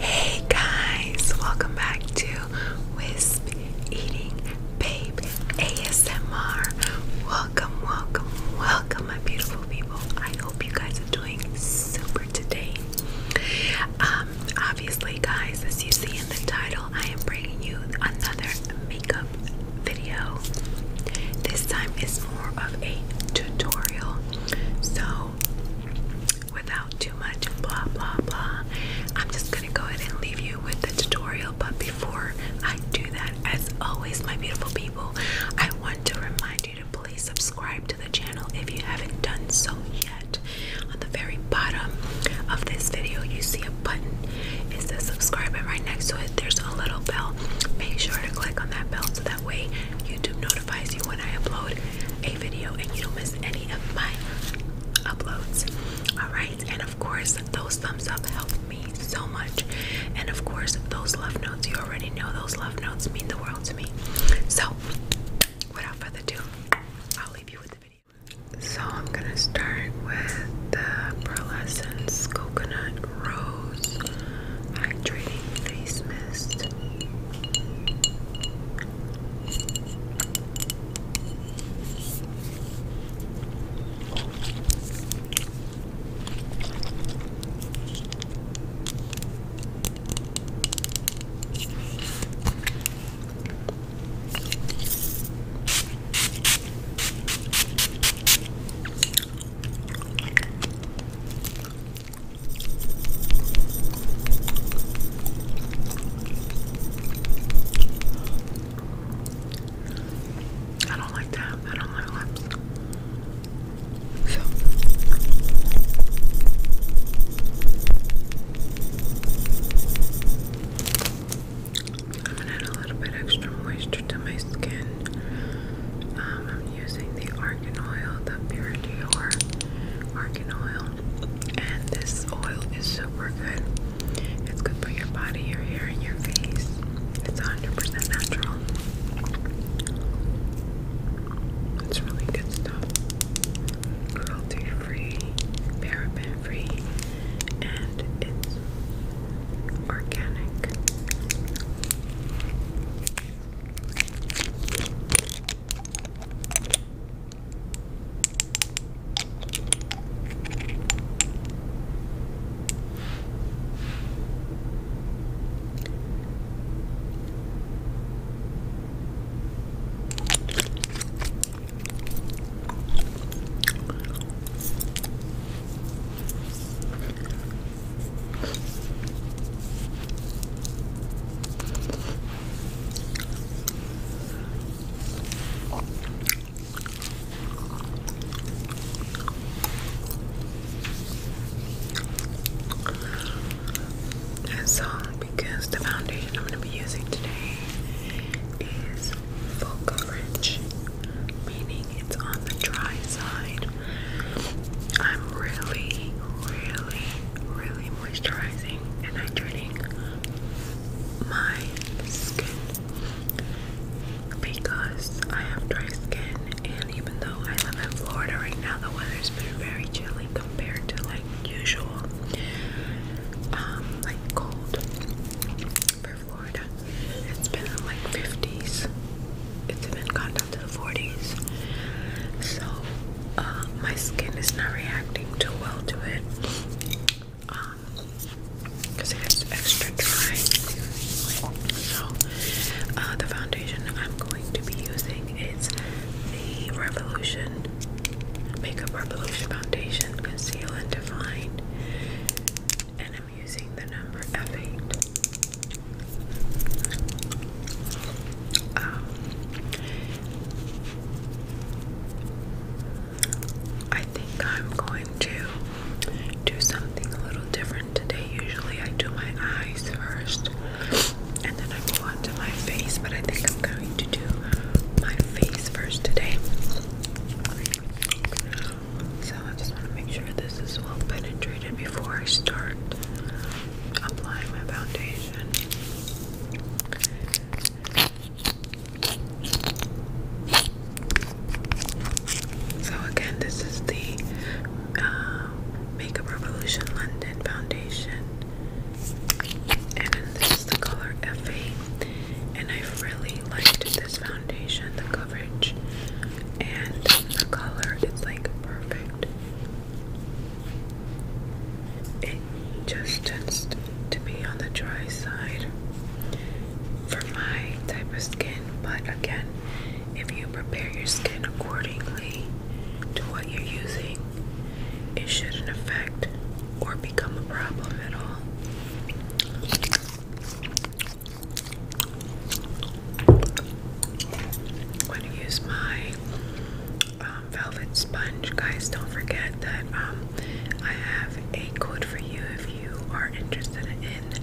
Hey guys, welcome back to Wisp Eating Babe ASMR. Welcome, welcome, welcome, my beautiful people. I hope you guys are doing super today. Um, obviously, guys, as you see in the title. I am bringing you another makeup video. This time is more of a tutorial, so without too much blah blah blah, I'm just gonna go ahead and leave you with the tutorial. But before I do that, as always, my beautiful people, I want to remind you to please subscribe to the channel if you haven't done so yet. On the very bottom of this video, you see a button it says subscribe, and right next to it, there's a little bell. Make sure to click on that bell so that way YouTube notifies you when I upload a video and you don't miss any of my uploads. Alright, and of course, those thumbs up help me so much. And of course, those love notes, you already know those love notes mean the world to me. So, without further ado, I'll leave you with the video. So I'm gonna start with the Pearlescence Coconut Rose Hydrating Face Mist. I don't like that. I don't like lips. So. I'm gonna add a little bit extra moisture to my skin. Um, I'm using the argan oil, the Pure Dior argan oil, and this oil is super good. It's good for your body, your hair, and your face. It's 100 natural. It's really good stuff. Cruelty free, paraben free, and it's organic. That song because the foundation I'm going to be using today is full coverage, meaning it's on the dry side. I'm really, really, really moisturizing and hydrating my skin because I have dry skin, and even though I live in Florida right now, the weather's been very chilly compared to like usual, um, like cold for Florida. It's been in like 50s. It's even gone down to the 40s. So uh, my skin is not reacting too well to it. because um, it's extra dry. So uh, the foundation I'm going to be using is the Revolution Makeup Revolution Foundation Conceal and Define and I'm using the number F8. Um, I think I'm going to do something a little different today. Usually I do my eyes first and then I go onto my face, but I think I'm going to do my face first today. So I just want to make sure this is well penetrated before I start applying my foundation. So again, this is the uh, Makeup Revolution London Foundation, and this is the color F8 and I really liked this foundation, the coverage and the color. It's like perfect. It just tends to be on the dry side for my type of skin, but again, if you prepare your skin accordingly to what you're using, it shouldn't affect or become a problem at all. I'm going to use my um, velvet sponge. Guys, don't forget that um, I have a code for you if you are interested in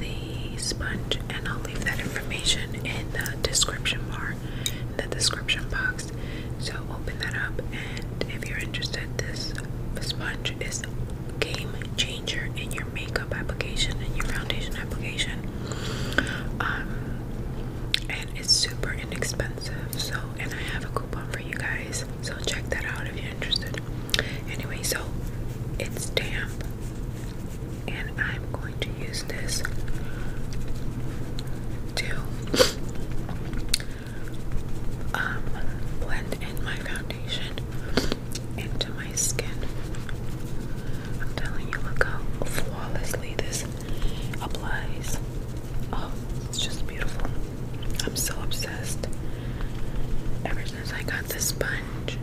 the sponge, and I'll leave that information in the description bar, in the description box. So open that up, and if you're interested, this sponge is game changer in your makeup application and your foundation application. Um, and it's super inexpensive. So, and I have a coupon for you guys. So check that out if you're interested. Anyway, so it's damp, and I'm going to use this to um, blend in my foundation into my skin. I'm telling you, look how flawlessly this applies. Oh, it's just beautiful. I'm so obsessed. Ever since I got this sponge,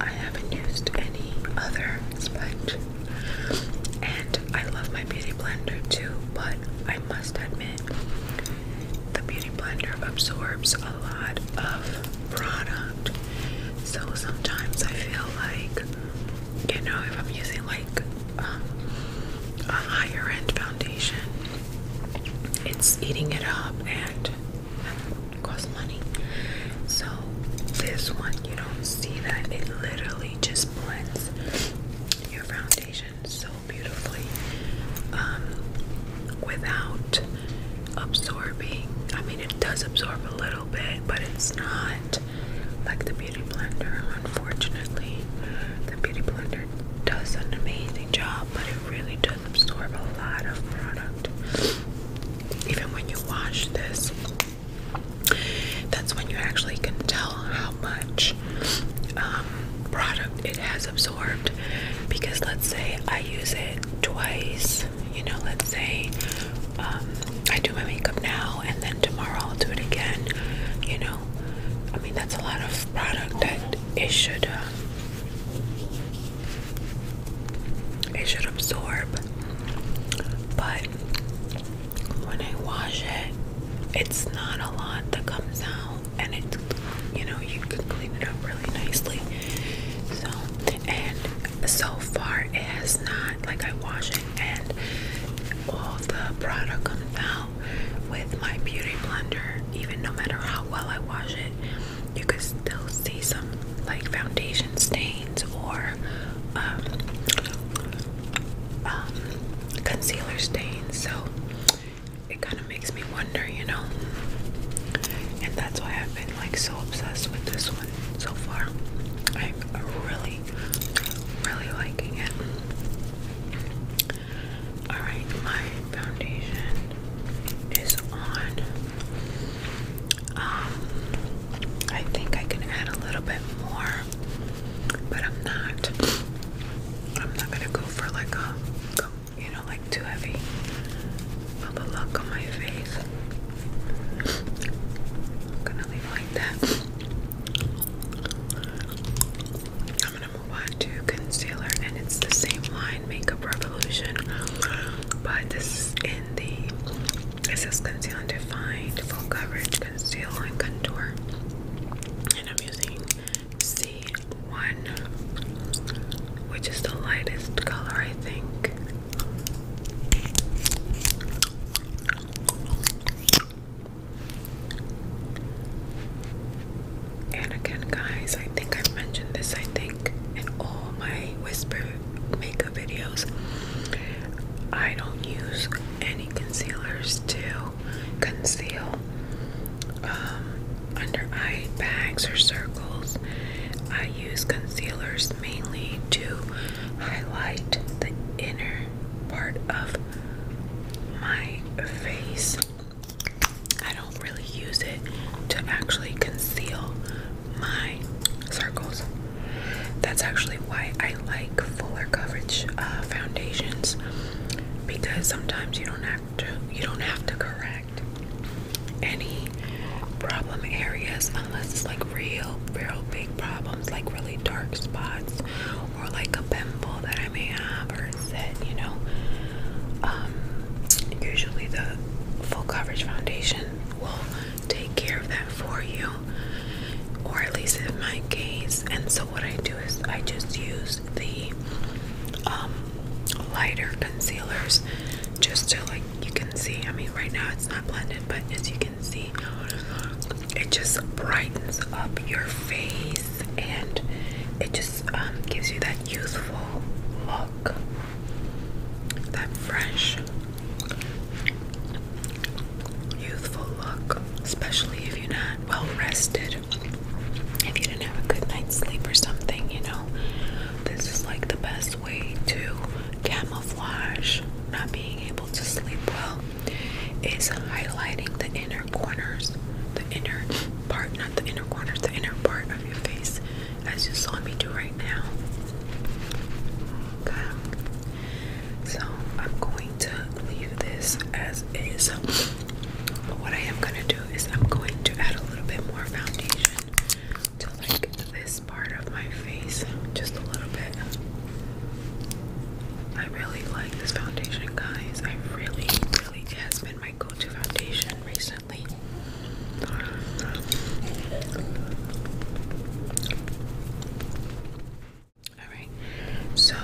I haven't used any other sponge. And I love my beauty blender too, but I must admit, the beauty blender absorbs a lot of product. So sometimes I feel like, you know, if I'm using like um, a higher end foundation, it's eating it up and costs money. So this one, you don't see that. It literally just blends your foundation so beautifully um, without absorbing. I mean, it does absorb a little bit, but it's not like the Beauty Blender. Unfortunately, the Beauty Blender does an amazing job, but it really does absorb a lot of product. Even when you wash this, that's when you actually can tell how much um, product it has absorbed because let's say I use it twice, you know, let's say um, I do my makeup now and then tomorrow I'll do it again, you know. I mean, that's a lot of product that it should um, it should absorb, but when I wash it, it's not a lot that comes out and it you know you can clean it up really nicely so and so far it has not like I wash it and all the product comes out with my beauty blender even no matter how well I wash it you can still see some like foundation stains or um, um, concealer stains so it kind of makes me wonder, you know. And that's why I've been like so obsessed with this one so far. I'm really, really liking it. Alright, my foundation is on. Um, I think I can add a little bit more, but I'm not. I'm not gonna go for like a, you know, like too heavy of the look on my face. I'm gonna leave it like that. I'm gonna move on to concealer, and it's the same line, Makeup Revolution, but this is in the it says Conceal Defined Full Coverage Conceal and Contour, and I'm using C1, which is the lightest color, I think. And again, guys, I think I've mentioned this, I think, in all my whisper makeup videos. I don't use any concealers to conceal um, under eye bags or circles. I use concealers mainly to highlight the inner part of my face. I don't really use it to actually conceal my circles. That's actually why I like fuller coverage uh, foundations because sometimes you don't have to you don't have to correct any problem areas unless it's like real, real big problems, like really dark spots or like a pimple that I may have or a you know. Um, usually the full coverage foundation will take care of that for you, or at least in my case. And so, what I do is I just use the um, lighter concealers just to like you can see. I mean, right now it's not blended, but as you can see, it just brightens up your face and it just um, gives you that youthful look, that fresh, youthful look, especially if you're not well rested. If you didn't have a good night's sleep or something, you know, this is like the best way to camouflage not being able to sleep well is highlighting the inner corners, the inner part, not the inner corners, the inner part of your face, as you saw me do right now. Okay. So I'm going to leave this as is. But what I am going to do is I'm going to add a little bit more foundation to like this part of my face, just a little bit. I really like this foundation, guys. I really, really, it has been my go-to foundation recently. All right, so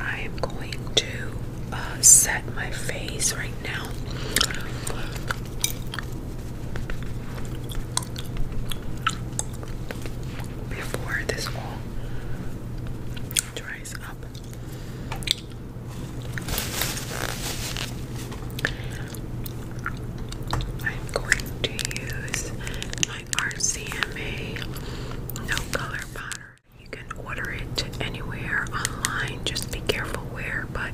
I am going to set my face right now. Before this all dries up, I'm going to use my RCMA no color powder. You can order it anywhere online, just be careful where, but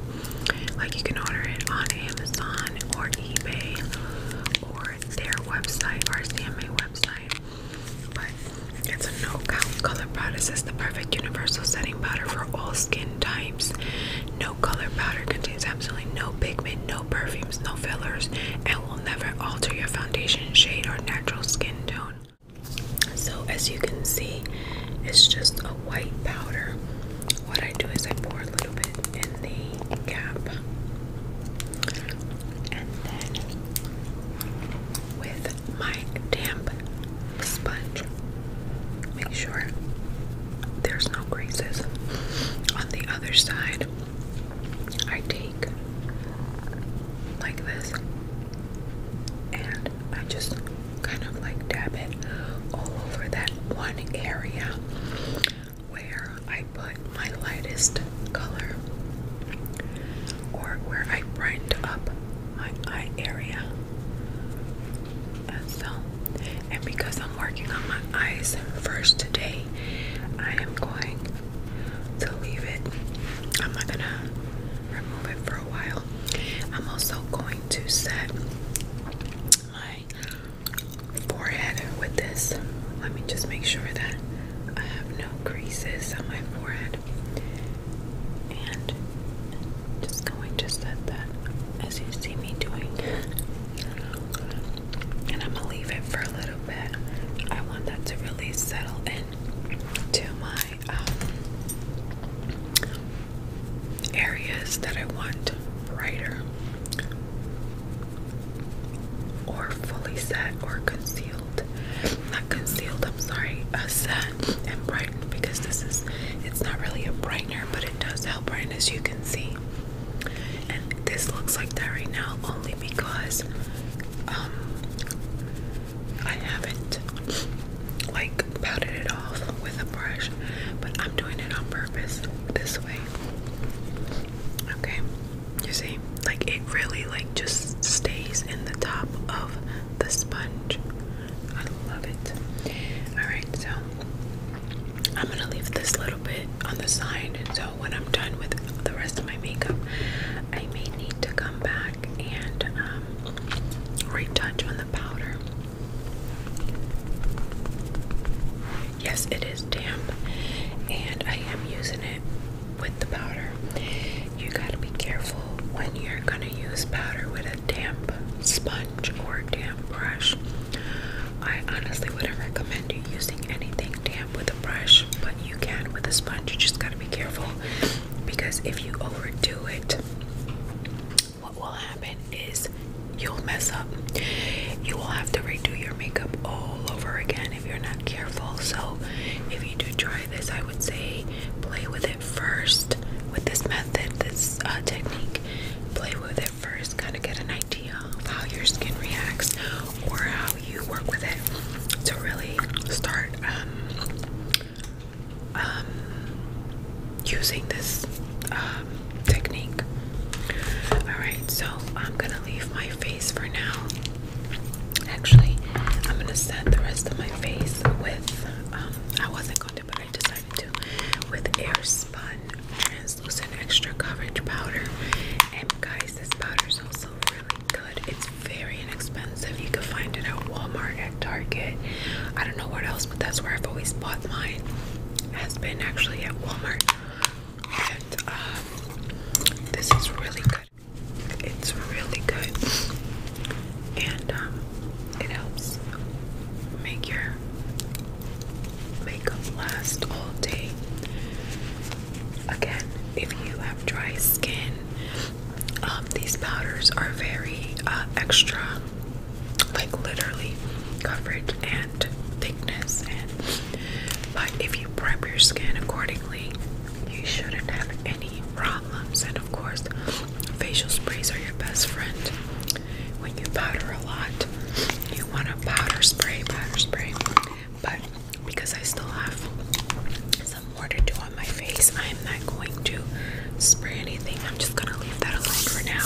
like you can order it on Amazon or eBay or their website, RCMA website. But it's a no color powder. it's the perfect universal setting powder for all skin types. No color powder contains absolutely no pigment, no perfumes, no fillers, and will never alter your foundation shade or natural skin tone. So as you can see, it's just a white powder. What I do is I pour a little bit in the cap. And then with my damp sponge, make sure there's no creases. On the other side, I take like this and I just kind of like dab it all over that one area where I put my lightest color or where I brightened up my eye area. And so, and because I'm working on my eyes first today, I am going to leave it. I'm not gonna remove it for a while. I'm also going to set my forehead with this. Let me just make sure that I have no creases on my forehead. And just going to set that as you see me doing. And I'm gonna leave it for a little bit. I want that to really settle in to my um, areas that I want brighter or fully set or concealed. Not concealed, I'm sorry, uh, set and brightened because this is, it's not really a brightener, but it does help brighten as you can see. And this looks like that right now only because um, I haven't like powdered it off with a brush, but I'm doing it on purpose this way. Okay, you see, like it really like just stays in the top of the sponge. I love it. All right, so I'm gonna leave this little bit on the side. So when I'm done with the rest of my makeup, I may need to come back and um, retouch on the powder. Yes, it is damp, and I am using it with the powder. You gotta be careful when you're gonna use powder with a damp sponge or damp brush. I honestly wouldn't recommend you using anything damp with a brush, but you can with a sponge. You just gotta be careful because if you overdo it, what will happen is you'll mess up. You will have to redo your makeup all over again if you're not careful. So, if you do try this, I would say play with it first with this method, this uh, technique. Play with it first, kind of get an idea of how your skin reacts or how you work with it to really start um, um, using this um, technique. Alright, so I'm gonna leave my face for now. Actually, I'm gonna set the rest of my face with, um, I wasn't going to, but I decided to, with Air Spun Translucent Extra Coverage Powder. And guys, this powder is also really good. It's very inexpensive. If You could find it at Walmart, at Target. I don't know what else, but that's where I've always bought mine. Has been actually at Walmart. And um, this is really good. It's really good, and um, it helps make your makeup last all day. Again, if you have dry skin um, these powders are very uh, extra, like literally coverage and thickness. And but if you prep your skin accordingly, you shouldn't have any problems. And of course, facial sprays are your best friend. When you powder a lot, you want a powder spray, powder spray. But because I still have some more to do my face. I'm not going to spray anything. I'm just gonna leave that alone for now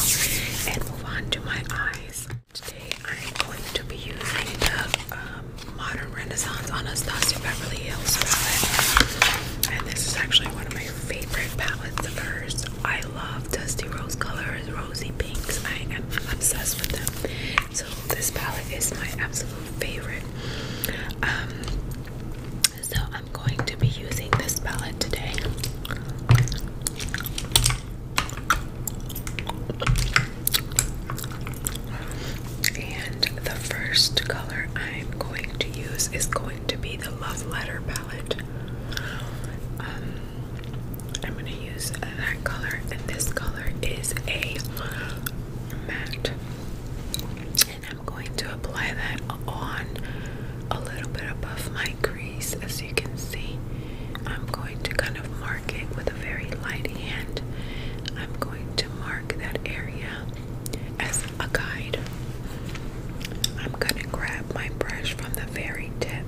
and move on to my eyes. Today I'm going to be using the um, Modern Renaissance Anastasia Beverly Hills palette. And this is actually one of my favorite palettes First, I love dusty rose colors, rosy pinks. I am obsessed with them. So this palette is my absolute favorite. Um, so I'm going to be using this palette today. And the first color I'm going to use is going to be the Love Letter palette. Um, I'm going to use that color, and this color is a matte and I'm going to apply that on a little bit above my crease as you can see I'm going to kind of mark it with a very light hand I'm going to mark that area as a guide I'm gonna grab my brush from the very tip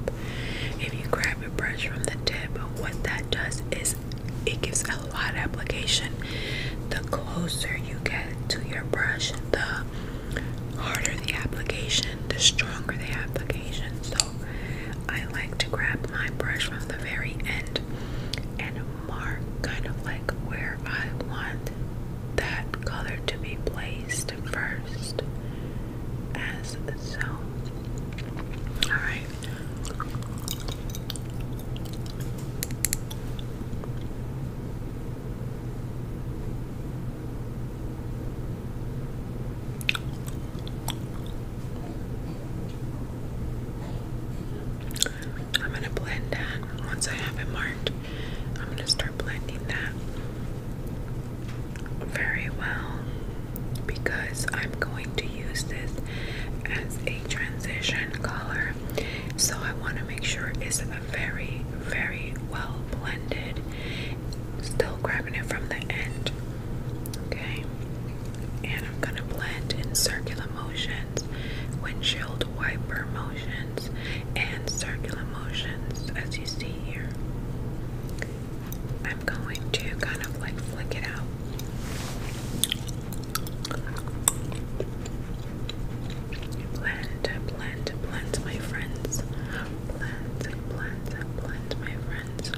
if you grab your brush from the tip what that does is it gives a lot of application the closer you get to your brush the harder the application, the stronger the application. So I like to grab my brush from the very end and mark kind of like where I want that color to be placed first. As so. Alright. I'm going to blend that once I have it marked. I'm going to start blending that very well because I'm going to use this as a transition color so I want to make sure it's very, very well blended. Still grabbing it from the end. Okay. And I'm going to blend in circular motions, windshield wiper motions, and circular motions as you see here. I'm going to kind of like flick it out. Blend, blend, blend, my friends. Blend, blend, blend, my friends.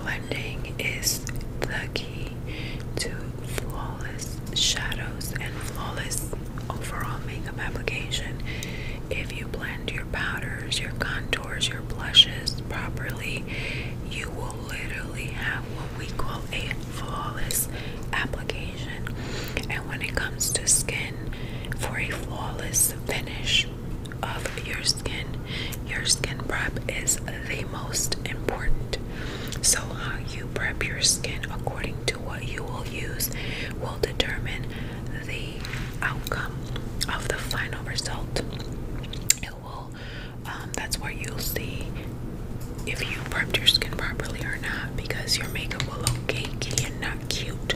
Blending is the key to flawless shadows and flawless overall makeup application if you blend your powders, your contours, your blushes properly. You will literally have what we call a flawless application. And when it comes to skin, for a flawless finish of your skin, your skin prep is the most important. So, how you prep your skin according to what you will use will determine the outcome of the final result. It will, um, that's where you'll see if you prepped your skin properly or not because your makeup will look cakey and not cute.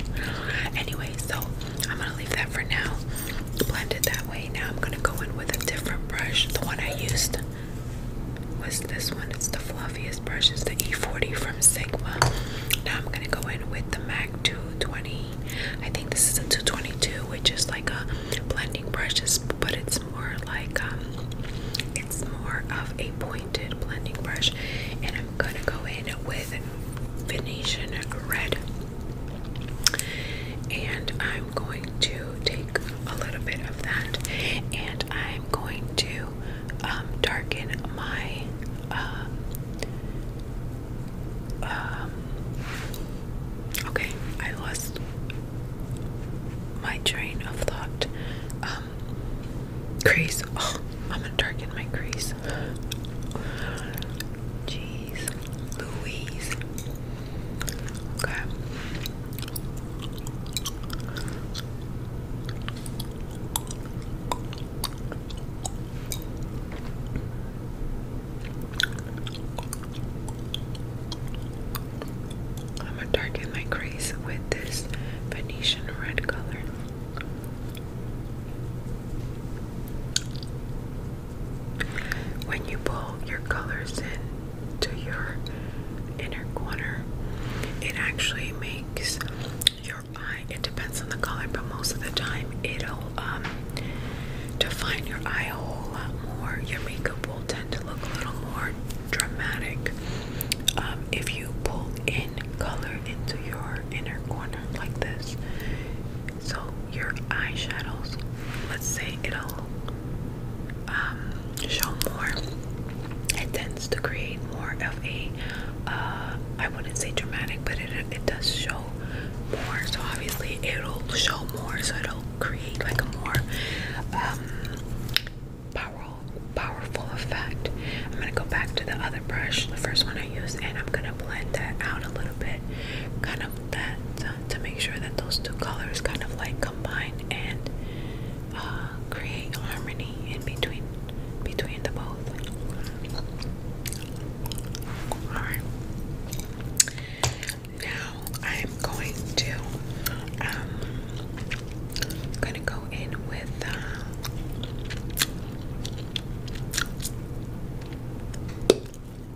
Anyway, so I'm gonna leave that for now. Blend it that way. Now I'm gonna go in with a different brush, the one I used was this one. It's the fluffiest brush. It's the E40 from Sigma. Now I'm gonna go in with the MAC 220. I think this is a 222, which is like a blending brush, but it's more like um, it's more of a pointed blending brush. And I'm gonna go in with Venetian red. And I I'm going to take a little bit of that and I'm going to um, darken my uh, um, okay I lost my train of thought um, crease oh, I'm gonna darken my crease jeez Louise Okay. I'm gonna darken my crease with this Venetian red color. When you pull your colors in, to your inner corner. It actually makes your eye, it depends on the color, but most of the time it'll um, define your eye hole a lot more. Your makeup will tend to look a little more dramatic um, if you pull in color into your inner corner like this. So your eye shadows. let's say it all. Um, show more, it tends to create more of a, uh, wouldn't say dramatic, but it, it does show more. So obviously it'll show more, so it'll create like a more um, powerful, powerful effect. I'm gonna go back to the other brush, the first one I used, and I'm gonna blend that out a little bit, kind of that to make sure that those two colors kind of like combine and uh, create harmony in between between the both. Alright. Now I'm going to um gonna go in with uh,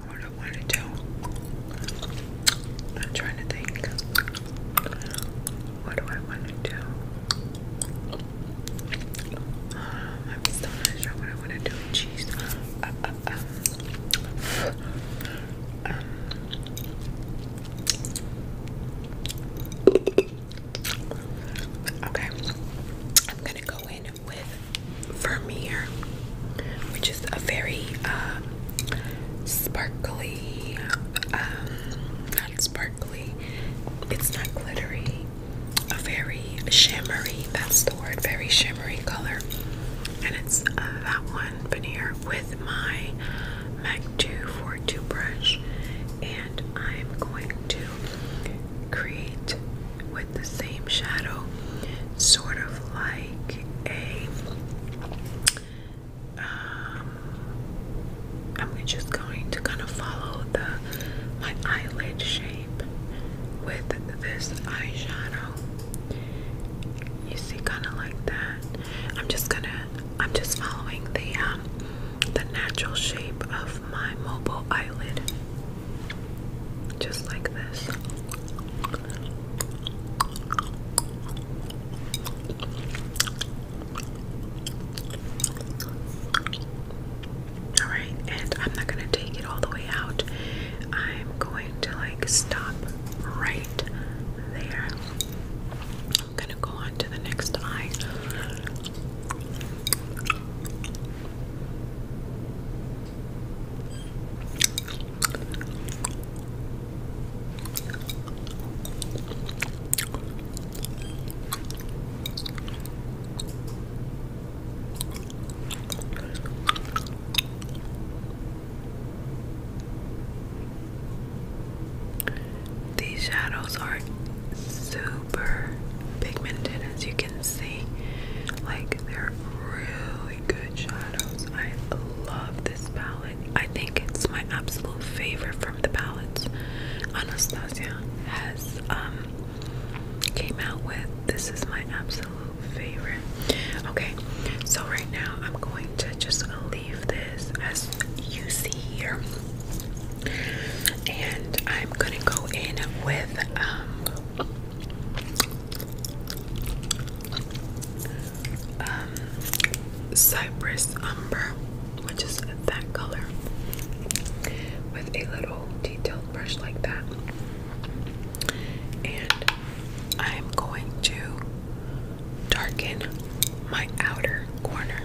what I want to do I'm trying to think. What do I want to do? Um, I'm still not sure what I want to do. Jeez. Uh, uh, uh. Um, okay, I'm gonna go in with Vermeer, which is a very sparkly, um, not sparkly, it's not glittery, a very shimmery, that's the word, very shimmery color. And it's uh, that one veneer with my MAC Duo Two brush. And I'm going to create with the same shadow, sort of like a um, I'm just going to kind of follow the my eyelid shape with this eyeshadow. You see, kind of like that. I'm just gonna. I'm just following the um, the natural shape of my mobile eyelid, just like this. All right, and I'm not going to take it all the way out. I'm going to like stop right there. I'm going to go on to the next eye. These shadows are super pigmented, as you can see. Like, they're really good shadows. I love this palette. I think it's my absolute favorite from the palettes. Anastasia has um came out with this is my absolute favorite. Okay, so right now I'm going to just leave this as you see here. And I'm gonna go in with um, um, cypress Umber, which is that color, with a little detail brush like that. And I am going to darken my outer corner.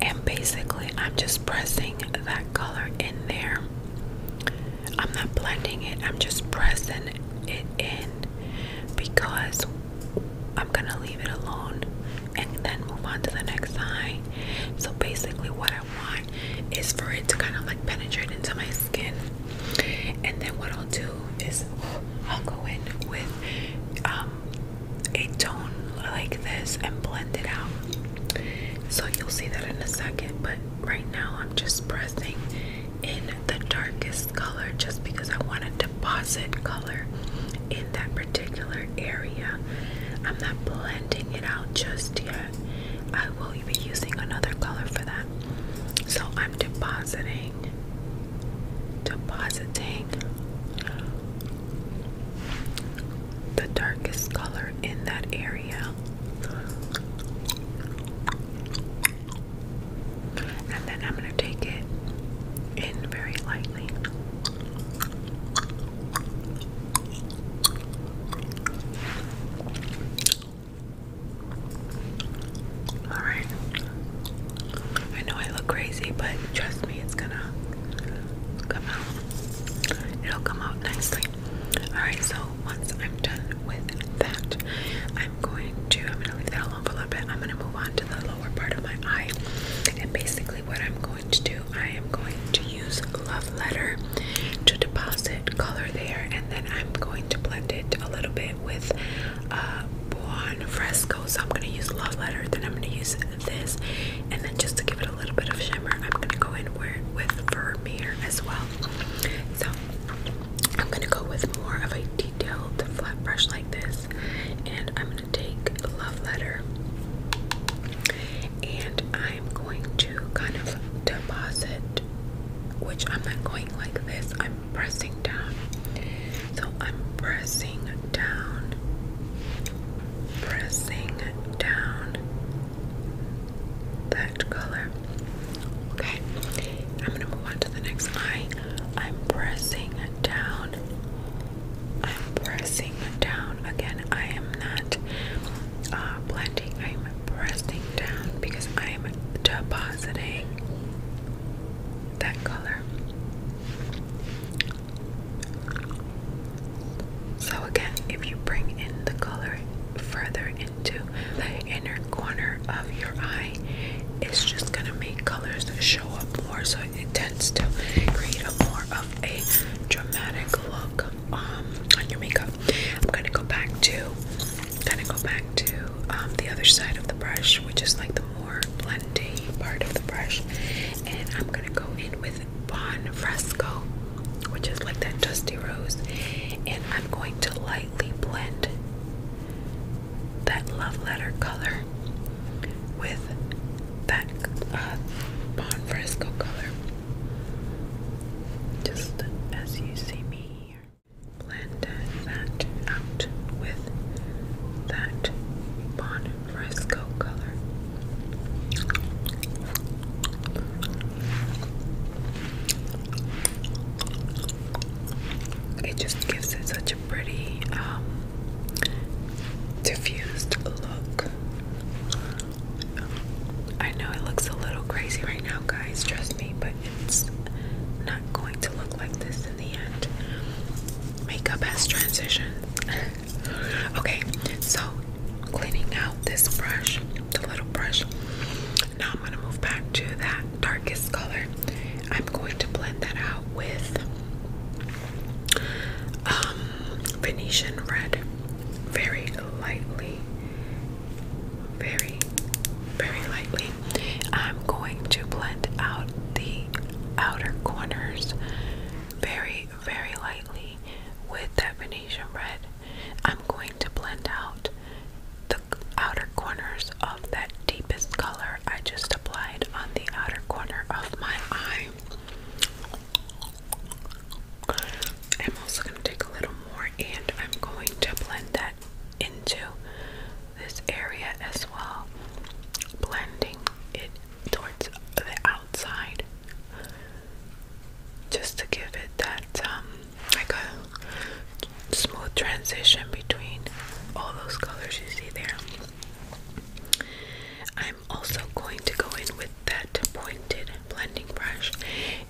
And basically, I'm just pressing that color in there I'm not blending it, I'm just pressing it in because I'm gonna leave it alone and then move on to the next eye. So basically, what I want is for it to kind of like penetrate into my skin, and then what I'll do is I'll go in with um, a tone like this and blend it out. So you'll see that in a second, but right now I'm just pressing in the darkest color just because I want to deposit color in that particular area. I'm not blending it out just yet. I will be using another color for that. So I'm depositing, depositing the darkest color in that area. And then I'm going to take it in very lightly. Alright. I know I look crazy, but trust me, it's gonna come out. It'll come out nicely. Alright, so once I'm done with that, I'm going to, I'm going to leave that alone for a little bit. I'm going to move on to the lower part of my eye. And basically what I'm going to do, I am going to use Love Letter to deposit color there. And then I'm going to blend it a little bit with uh, Buon Fresco. So I'm going to use Love Letter, then I'm going to use this. And then just to give it a little bit of shimmer, I'm going to go in with Vermeer as well. So I'm gonna go with more of a detailed flat brush like this, and I'm gonna take Love Letter, and I'm going to kind of deposit, which I'm not going like this. I'm pressing down, so I'm pressing down, pressing down that color Okay, I'm gonna move on to the next eye. I'm pressing down. I'm pressing down again. I am not uh, blending. I'm pressing down because I'm depositing that color. So again, if you bring in the color further into the inner corner of your eye, it's just gonna make colors show up more, so it tends to create a more of a dramatic look um, on your makeup. I'm gonna go back to, gonna go back to um, the other side of the brush, which is like the more blending part of the brush, and I'm gonna go in with Bon Fresco which is like that dusty rose, and I'm going to lightly blend that love letter color with that uh, Bon Fresco color. Just as you see me here. Blend that out with that Bon Fresco color. It just gives it such a pretty um, diffused look. I know it looks a little crazy right now, guys, trust me, but it's not going to look like this in the end. Makeup has transition. okay, so cleaning out this brush, the little brush, now I'm going to move back to that darkest color. I'm going to blend that out with um, Venetian red very lightly. Very, very lightly. I'm going to blend out the outer corners very, very lightly with that Venetian red I'm going to blend out the outer corners of that deepest color I just applied on the outer corner of my eye. I'm also going to take a little more and I'm going to blend that into this area as well, blending it towards the outside just to give it that um, like a smooth transition between all those colors you see there. I'm also going to go in with that pointed blending brush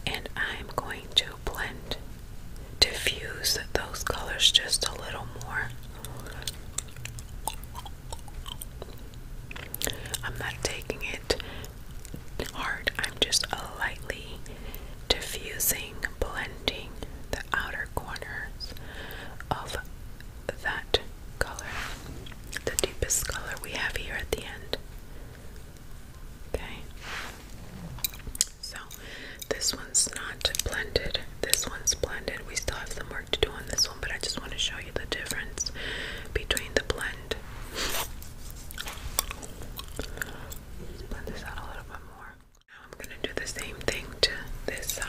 and I'm going to blend, diffuse those colors just a little more. I'm not taking it hard. I'm just lightly diffusing, blending the outer corners of that color, the deepest color we have here at the end. Okay, so this one's not blended, this one's blended. We still have some work to do on this one, but I just want to show you the difference between the blend blend this out a little bit more. Now I'm going to do the same thing to this side.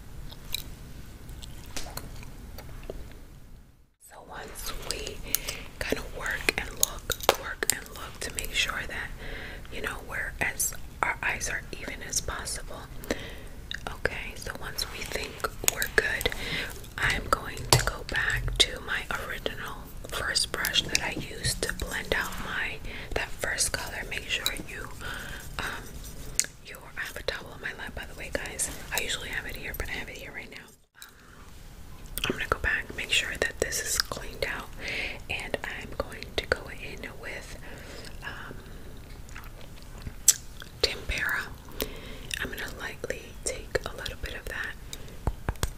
So once we kind of work and look, work and look to make sure that you know we're as our eyes are even as possible. Okay, so once we think we're good, I'm going to go back to my original first brush that I used to blend out my that first color. Make sure you um, I have a towel on my lap by the way guys. I usually have it here but I have it here right now. Um, I'm gonna go back, make sure that this is cleaned out, and I'm going to go in with um, tempera. I'm gonna lightly take a little bit of that,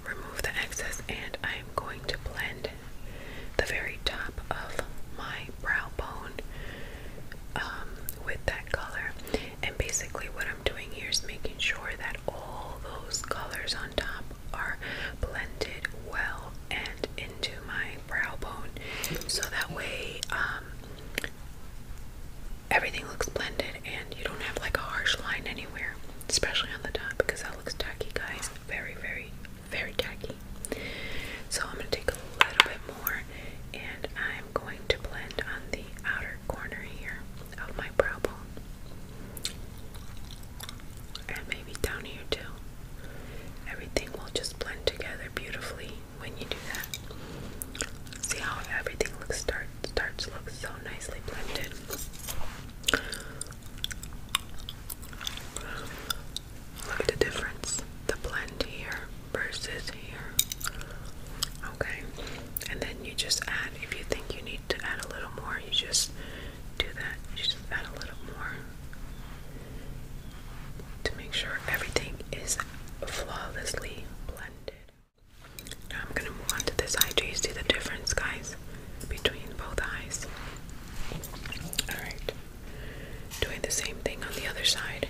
remove the excess, and I'm going to blend the very top of my brow bone um, with that color. And basically, what I'm doing here is making sure that all those colors on top are blended well and into my brow bone, so that way um, everything looks blended and you don't have like a harsh line anywhere, especially on the top because that looks tacky, guys. Very, very, very tacky. So I'm going to take a little bit more and I'm going to blend on the outer corner here of my brow bone. And maybe down here too. Everything will just blend together beautifully when you do that. See how everything looks start starts looks so nicely blended. Look at the difference. The blend here versus here. Okay. And then you just add, if you think you need to add a little more, you just do that. You just add a little more to make sure everything is flawlessly blended. Now I'm going to move on this eye. Do you see the difference, guys, between both eyes? Alright doing the same thing on the other side.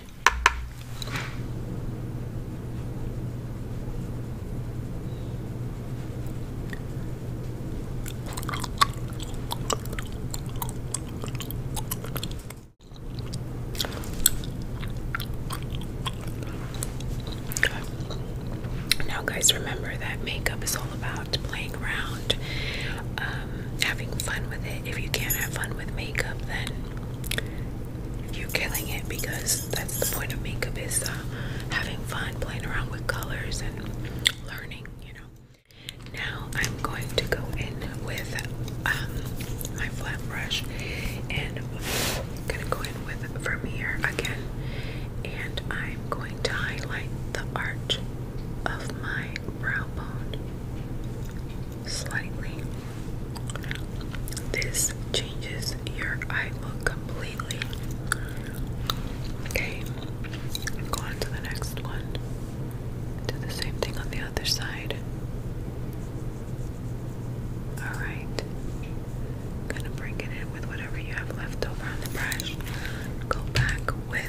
Now, guys, remember that makeup is all about playing around, um, having fun with it if you can't have fun with makeup, then you're killing it because that's the point of makeup is uh, having fun, playing around with colors and learning, you know. Now I'm going to go in with um, my flat brush and I'm gonna go in with Vermeer again and I'm going to highlight the arch of my brow bone slightly. This changes your eye look completely. Okay, go on to the next one. Do the same thing on the other side. Alright, gonna bring it in with whatever you have left over on the brush. Go back with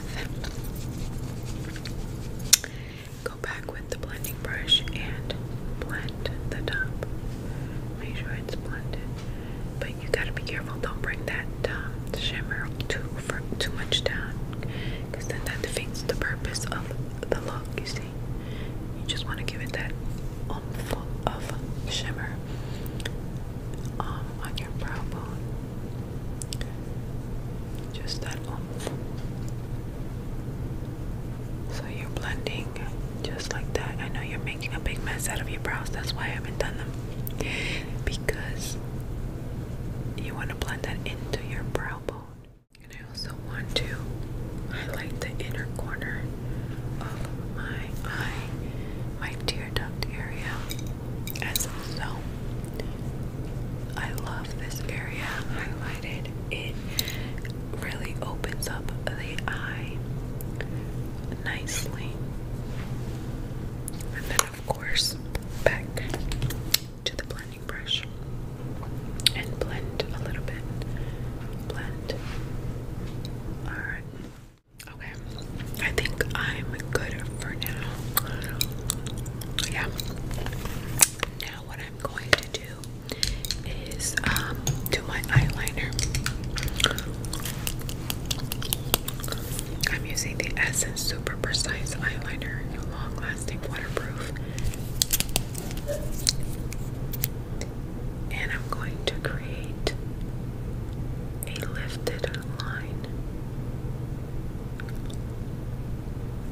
Go back with the blending brush and blend the top. Make sure it's blended. But you gotta be careful, don't bring that um, shimmer too for, too much down, because then that defeats the purpose of the look. You see, you just want to give it that oomph of shimmer um, on your brow bone. Just that uh, so you're blending just like that. I know you're making a big mess out of your brows, that's why I haven't done them. Because you want to blend that into your brow bone. And I also want to highlight the inner corner of my eye, my tear duct area, as so. I love this area highlighted. It really opens up the eye nicely. And then, of course, back to the blending brush and blend a little bit. Blend. Alright. Okay. I think I'm good for now. Yeah. Now what I'm going to do is um, do my eyeliner. I'm using the Essence Super Precise Eyeliner, long-lasting, waterproof. And I'm going to create a lifted line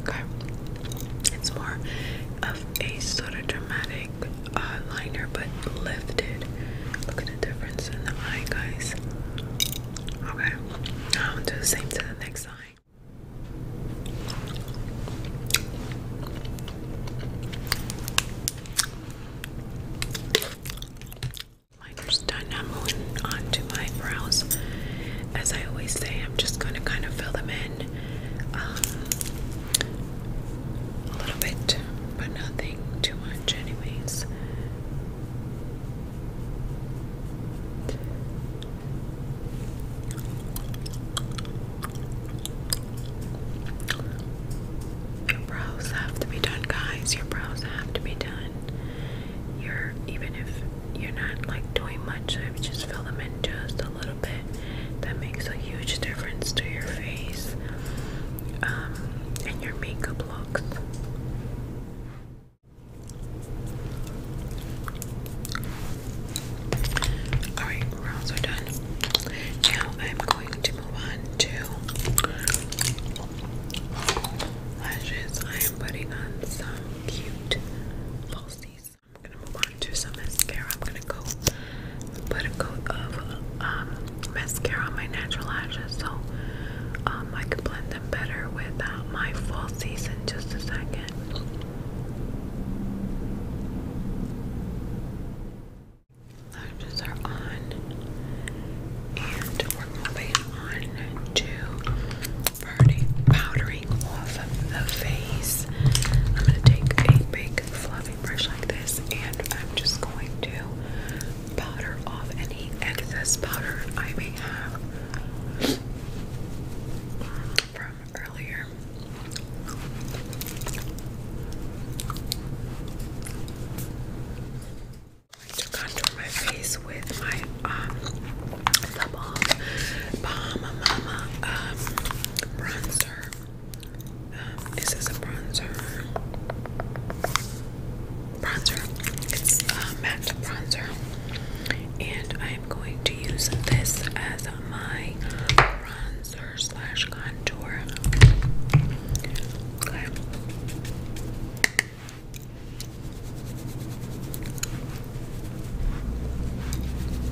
Okay, it's more of a sort of dramatic uh, liner, but lifted. Look at the difference in the eye, guys. Okay, now I'll do the same to the next eye. Miner's done. I'm moving on my brows. As I always say, I'm just going to kind of fill them in um, a little bit, but nothing too much, anyways. Your brows have to be done, guys. Your brows have to be done. You're even if you're not like doing much, I just fill them in just a little bit. That makes a huge difference to your face um, and your makeup looks. Alright, we're done. Now I'm going to move on to lashes. I am putting on some cute falsies. I'm gonna move on to some mascara. I'm gonna go put a coat of um, mascara on my natural lashes so um, I can blend them better with my falsies in just a second. Lashes are on, and we're moving on to powdering off the face. I'm going to take a big fluffy brush like this, and I'm just going to powder off any excess powder I may have from earlier. I like to my face with my um the Balm Mama um bronzer. Um, is a bronzer? Bronzer. It's a uh, matte bronzer, and I am going to use this as my bronzer slash contour.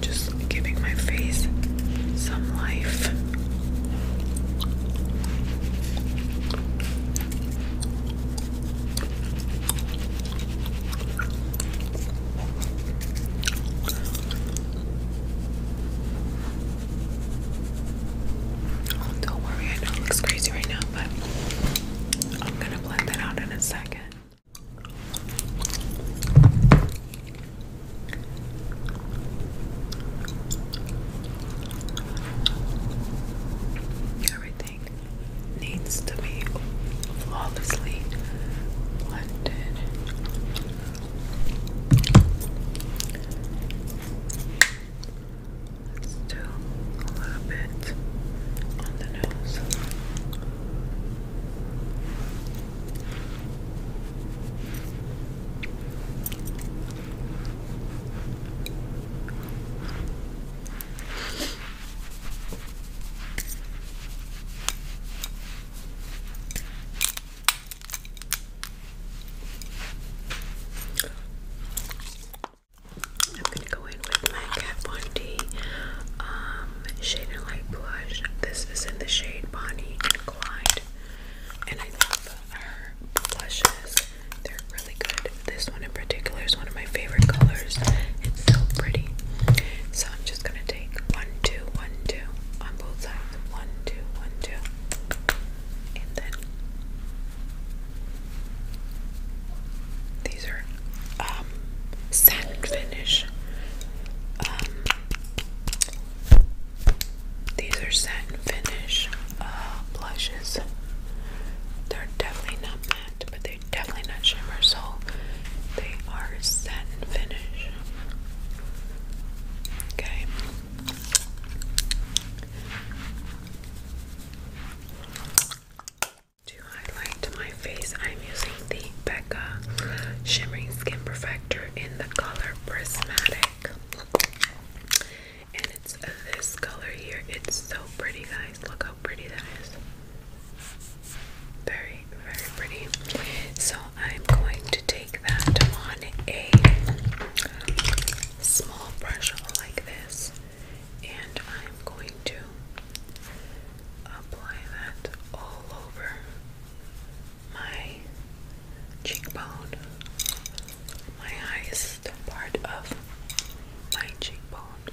Just giving my face some life. Oh, don't worry, I know it looks crazy right now, but I'm gonna blend that out in a second. Everything needs to be flawlessly blended. Let's a little bit on the nose. I'm gonna go in with my Kat Von D um, Light Blush. This is in the shade Bonnie and Clyde. And I love her blushes. They're really good. This one in particular is one of my favorite colors. It's so pretty. So I'm just gonna take one, two, one, two on both sides. One, two, one, two. And then these are um satin finish. Um these are satin finish uh blushes. They're definitely not matte, but they're definitely not shimmer, so they are satin finish. Okay. To highlight my face, I'm using the Becca Shimmering Skin Perfector in the color Prismatic. And it's uh, this color here. It's so pretty, guys. Look how pretty that is. Very, very pretty. So, I'm going to take that on a small brush like this, and I'm going to apply that all over my cheekbone, my highest part of my cheekbone,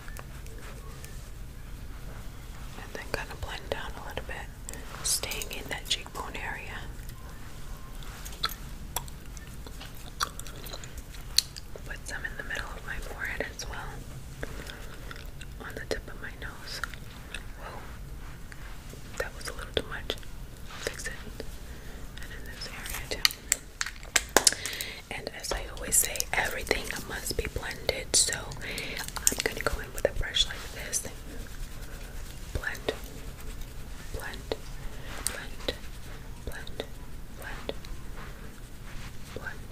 and then kind of blend down a little bit staying in that cheekbone area. Put some in the middle of my forehead as well, on the tip of my nose. Whoa, that was a little too much. fix it. And in this area too. And as I always say, everything must be blended. So I'm gonna go in with a brush like this blend, blend, blend, blend, blend, blend, blend, blend,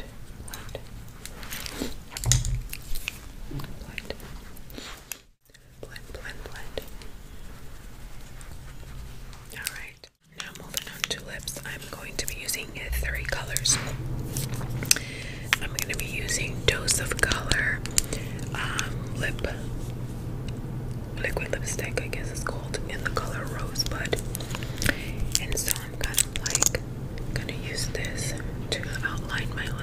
blend, blend, blend. All right. Now moving on to lips, I'm going to be using three colors. I'm going to be using Dose of Color um, Lip Liquid Lipstick, I guess it's called, in the color Rosebud. And so I'm kind of like going to use this to outline my lips.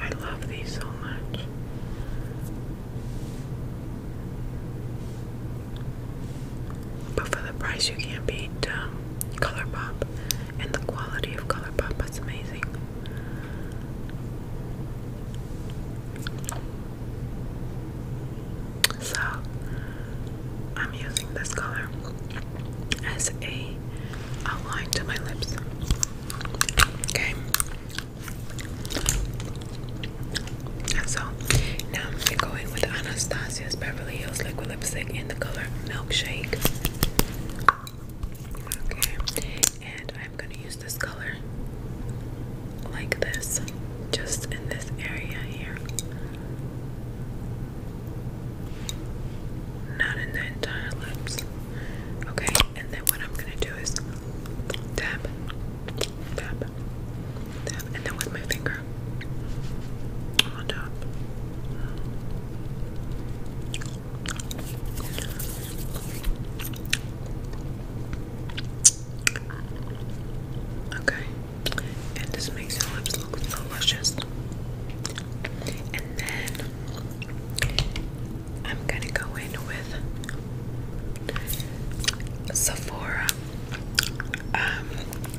I love these so much. But for the price, you can't beat um, ColourPop, and the quality of ColourPop is amazing. So, I'm using this color as a outline to my lips. Okay. So now I'm going with Anastasia's Beverly Hills liquid lipstick in the color Milkshake. Okay, and I'm gonna use this color like this, just in this area here. Not in the entire lips. Okay, and then what I'm gonna do is tap, tap, tap, and then with my finger on top. Okay, and this makes your lips look so luscious. And then I'm gonna go in with Sephora. Um,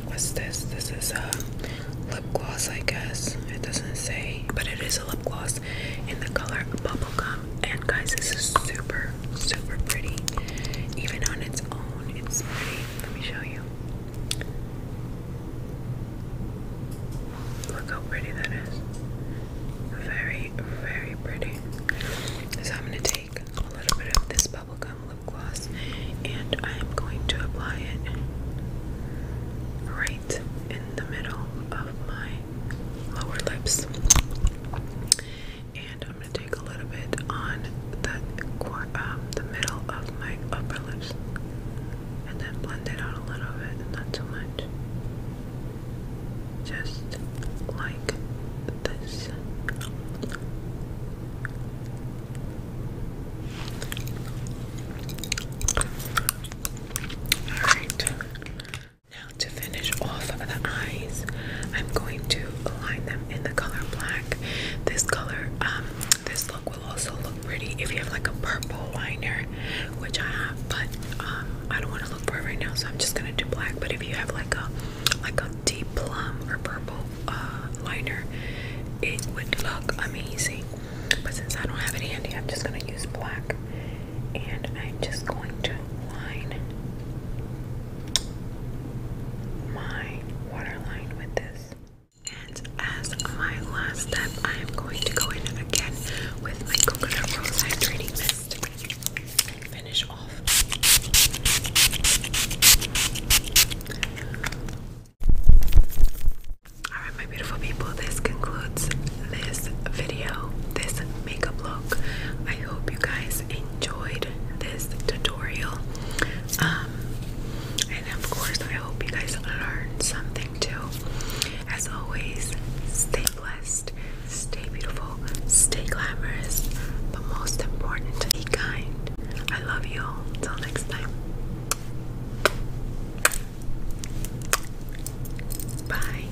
what's this? This is a lip gloss, I guess. It doesn't say, but it is a lip gloss in the color Bubblegum. And guys, this is super, super pretty. Even on its own, it's pretty. Let me show you. Look how pretty that is. Very, very pretty. So I'm going to take a little bit of this bubblegum lip gloss and I'm going to apply it right in the middle of my lower lips. And I'm going to take a little bit on the um, the middle of my upper lips and then blend it out a little bit, not too much just like this. Alright, now to finish off the eyes, I'm going to align them in the color black. This color, um, this look will also look pretty if you have like a purple liner which I have, but um, I don't want to look for it right now, so I'm just gonna do black. But if you have like a like a deep plum or purple uh, liner, it would look amazing. But since I don't have it handy, I'm just gonna use black, and I'm just going to line my waterline with this. And as my last step, I am going to go in again with my coconut rose hydrating mist and finish off. Alright, my beautiful people, this concludes this video, this makeup look. I hope you guys enjoyed this tutorial. Um, and of course, I hope you guys learned something too. As always, stay blessed, stay beautiful, stay glamorous, but most important, be kind. I love you all. Till next time. Bye.